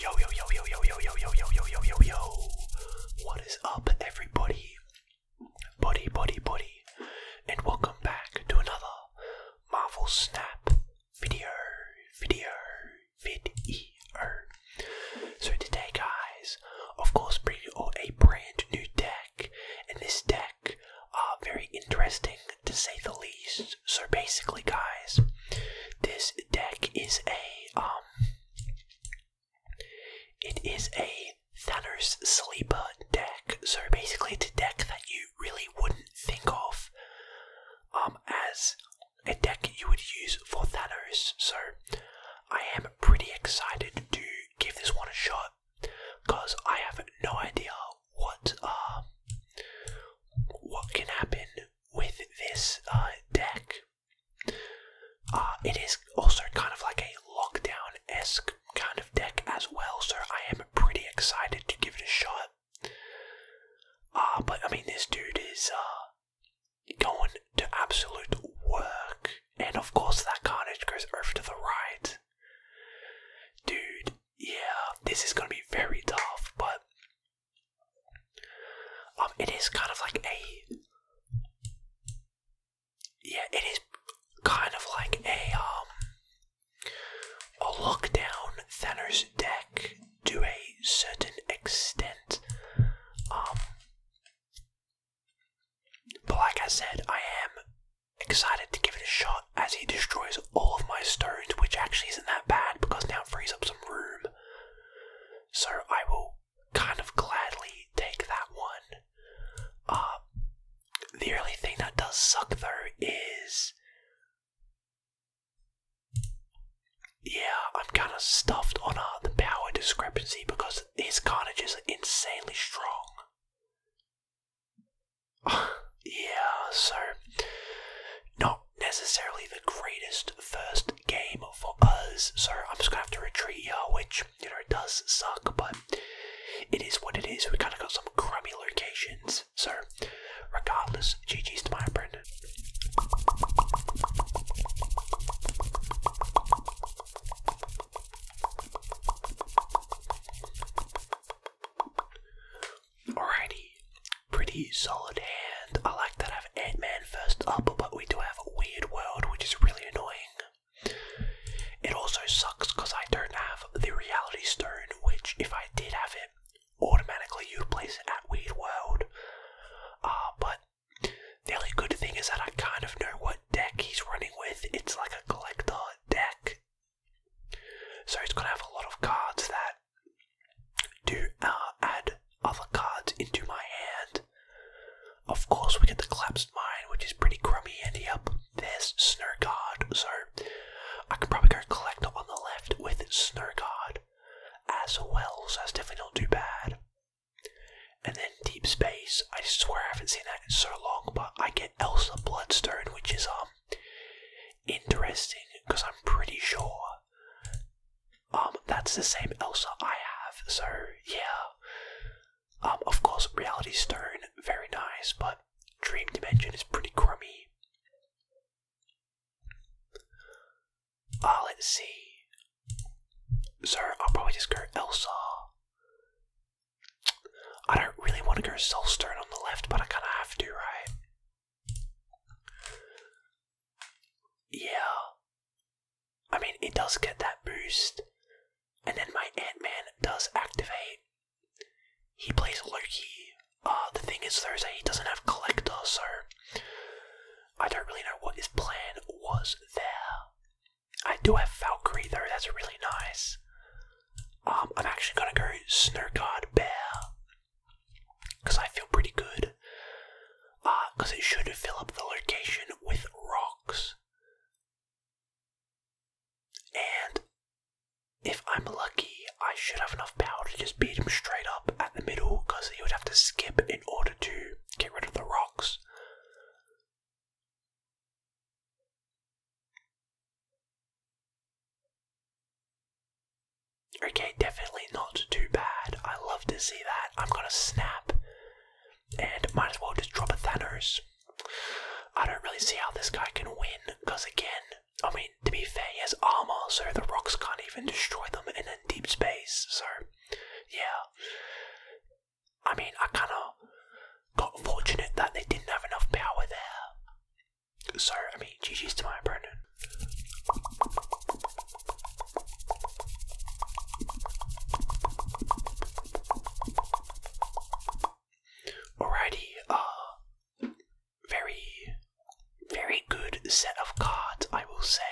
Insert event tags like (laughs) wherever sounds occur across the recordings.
Yo yo yo yo yo yo yo yo yo yo yo yo yo. What is up, everybody? Buddy, buddy, buddy, and welcome back to another Marvel Snap video, video, video. So today, guys, of course, bringing you all a brand new deck, and this deck, uh, very interesting to say the least. So basically, guys, this deck is a um, it is a Thanos sleeper deck. So basically, it's a deck that you really wouldn't think of um as a deck you would use for Thanos. So I am pretty excited to give this one a shot because I have no idea what uh what can happen with this uh, deck. Uh, it is also kind of like a lockdown esque kind of deck as well, so I am pretty excited to give it a shot. Uh, but I mean, this dude is uh, going to absolute work, and of course, that carnage goes over to the right. Dude, yeah, this is gonna be very tough, but um, it is kind of like a, yeah, it is kind of like a um, a look down Thanos deck to a certain extent. Um, but like I said, I am excited to give it a shot as he destroys all of my stones, which actually isn't that bad because now it frees up some room. So I will kind of gladly take that one. Uh, the only thing that does suck though is. Yeah, I'm kind of stuffed on uh, the power discrepancy because his carnage is insanely strong yeah, so not necessarily the greatest first game for us. So I'm just gonna have to retreat here, which you know does suck, but it is what it is. We kind of got some crummy locations. So regardless, GG's to my friend. Alrighty, pretty solid hand. I like that I have Ant-Man first up, but we do have a Weird World, which is really annoying. It also sucks because I don't have the Reality Stone, which if I did have it, automatically you place it at Weird World. Uh, but the only good thing is that I kind of know what deck he's running with. It's like a collector deck. So it's going to have a lot of cards that do uh, add other cards into my hand. Of course, we get the collapsed mine, which is pretty crummy, and yep, there's Snow Guard. So I can probably go collect on the left with Snow as well, so that's definitely not too bad. And then Deep Space, I swear I haven't seen that in so long, but I get Elsa Bloodstone, which is um interesting because I'm pretty sure um that's the same Elsa I have. So yeah. Um, of course, Reality Stern very nice, but Dream Dimension is pretty crummy. Ah, let's see. So I'll probably just go Elsa. I don't really want to go Stern on the left, but I kind of have to, right? Yeah. I mean, it does get that boost. And then my Ant-Man does activate. He plays Loki. Uh, the thing is, Thursday he doesn't have Collector, so I don't really know what his plan was there. I do have Valkyrie, though. That's really nice. Um, I'm actually gonna go Snowguard Bear because I feel pretty good. Because uh, it should fill up the location with rocks. And if I'm lucky, I should have enough power to just beat him straight up at the middle because he would have to skip in order to get rid of the rocks. Okay, definitely not too bad. I love to see that. I'm gonna snap and might as well just drop a Thanos. I don't really see how this guy can win because, again, I mean, to be fair, he has armor, so the rocks can't even destroy them and in deep space. So, yeah. I mean, I kinda got fortunate that they didn't have enough power there. So, I mean, GG's to my opponent. Alrighty, uh, very, very good set of cards, I will say.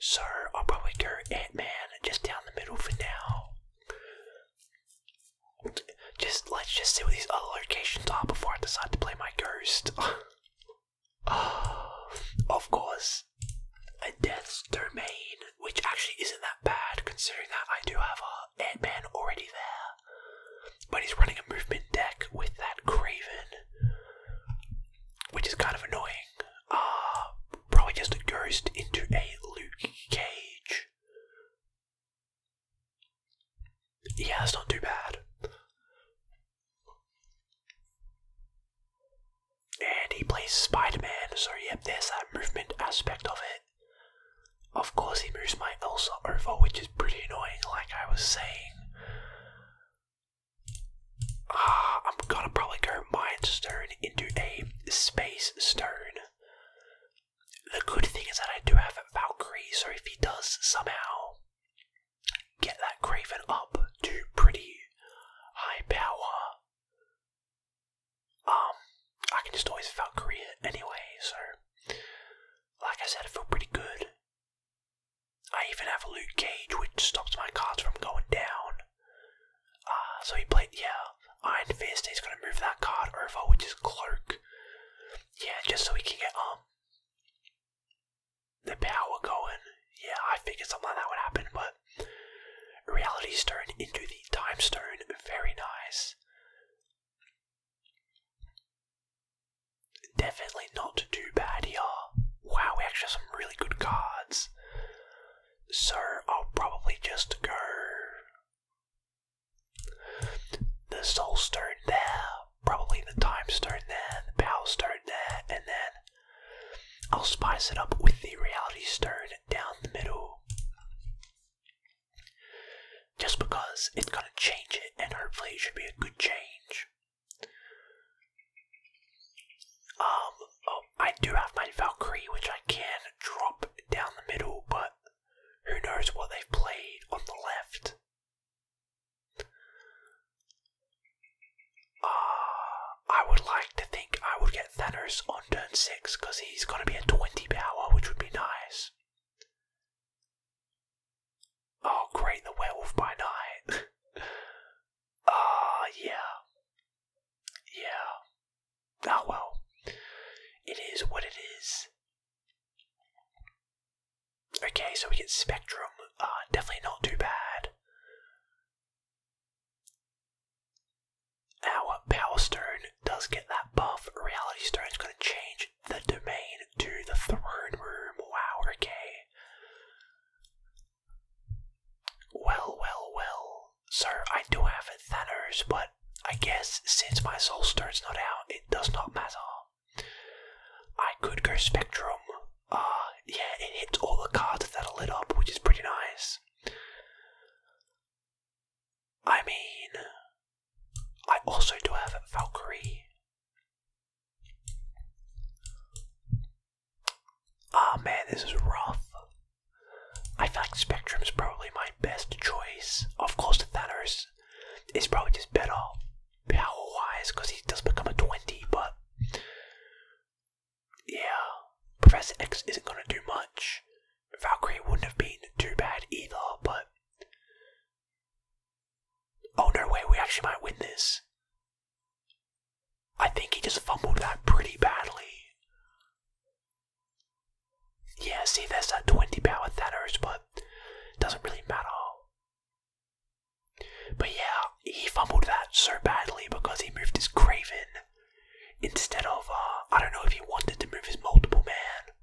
So, I'll probably go Ant Man just down the middle for now. Just let's just see what these other locations are before I decide to play my ghost. (laughs) (sighs) of course, a death's domain, which actually isn't that bad considering that I do have a Ant Man already there, but he's running a movement deck with that Craven, which is kind of annoying. Uh, probably just a ghost into a Luke Cage. Yeah, it's not too bad. And he plays Spider Man, so yep, there's that movement aspect of it. Of course, he moves my Elsa over, which is pretty annoying, like I was saying. Ah, I'm gonna probably go Mind Stone into a Space Stone the good thing is that I do have Valkyrie, so if he does somehow get that Craven up to pretty high power, um, I can just always Valkyrie anyway, so like I said, I feel pretty good. I even have a Luke Cage, which stops my cards from going down. Uh, so he played, yeah, Iron Fist is gonna move that card over, which is Cloak. Yeah, just so we can get um the power going. Yeah, I figured something like that would happen, but Reality Stone into the Time Stone, very nice. Definitely not too bad here. Wow, we actually have some really good cards. So I'll probably just go the soul stone there, probably the time stone there, the power stone there, and then I'll spice it up with the reality stone down the middle. Just because it's gonna change it, and hopefully it should be a good change. Um, oh, I do have my Valkyrie, which I can drop down the middle, but who knows what they've played on the left? Uh, I would like to think I would get Thanos on turn 6 because he's going to be a 20 power, which would be nice. Oh, great, the werewolf by night. (laughs) Ah, yeah. Yeah ah well. It is what it is. Okay, so we get Spectrum. Ah, definitely not too bad. Our Power Stone does get that buff. Reality Stone's going to change the domain to the throne room. Wow, okay. Well, well, well. Sir, I do have a Thanos, but I guess since my soul stone's not out, it does not matter. I could go Spectrum. Uh, yeah, it hits all the cards that are lit up, which is pretty nice. I mean, I also do have a Valkyrie. Ah oh, man, this is rough. I feel like Spectrum's probably my best choice. Of course, Thanos is probably just better power wise because he does become a 20, but yeah, Professor X isn't going to do much. Valkyrie wouldn't have been too bad either, but. Oh no way, we actually might win this. I think he just fumbled that pretty badly. Yeah, see, that's a 20 power Thanos, but doesn't really matter. But yeah, he fumbled that so badly because he moved his Craven instead of, uh, I don't know if he wanted to move his multiple man,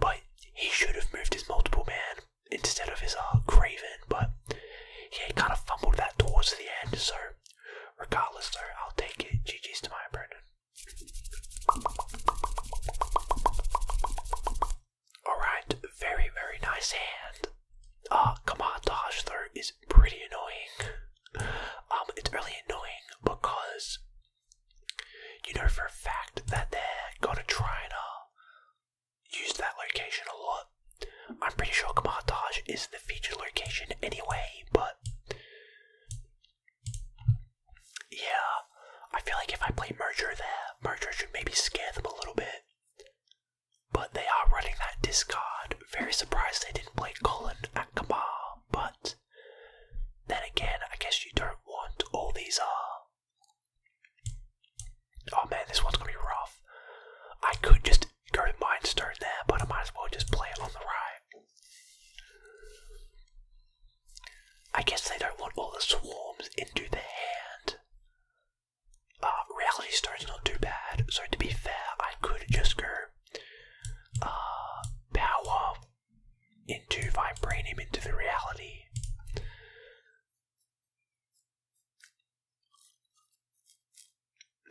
but he should have moved his multiple man instead of his uh, Craven, but yeah, he kind of fumbled that towards the end, so Regardless, though, I'll take it. GG's to my opponent. Alright, very, very nice hand. Ah, uh, Kamar Taj, is pretty annoying. Um, it's really annoying because you know for a fact that they're gonna try and uh, use that location a lot. I'm pretty sure Kamar is the featured location anyway, but yeah, I feel like if I play Merger there, Merger should maybe scare them a little bit. But they are running that discard. Very surprised they didn't play Colin at Kabar, but then again, I guess you don't want all these are. Uh, oh man, this one's gonna be rough. I could just you can already mind but I might as well just play it on the right. I guess they don't want all the swarms into the hand. Uh, reality stone's not too bad, so to be fair, I could just go uh, power into vibranium into the reality.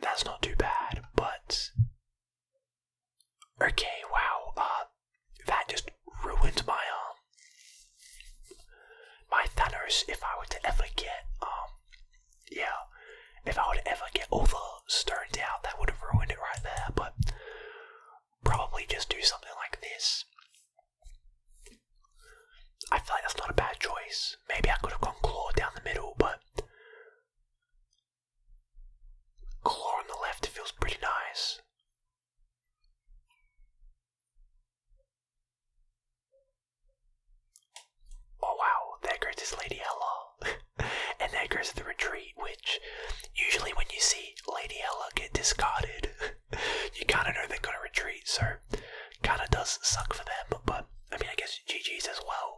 That's not too bad, but Okay, wow, uh, that just ruined my, um, my Thanos, if I were to ever get, um, yeah, if I were to ever get all the stoned out, that would have ruined it right there, but probably just do something like this. I feel like that's not a bad choice. Maybe I could have gone claw down the middle, but Claw on the left feels pretty nice. Oh wow, there goes to lady Ella. (laughs) and there goes the retreat, which usually when you see Lady Ella get discarded, (laughs) you kinda know they're gonna retreat, so kinda does suck for them, but I mean I guess GG's as well.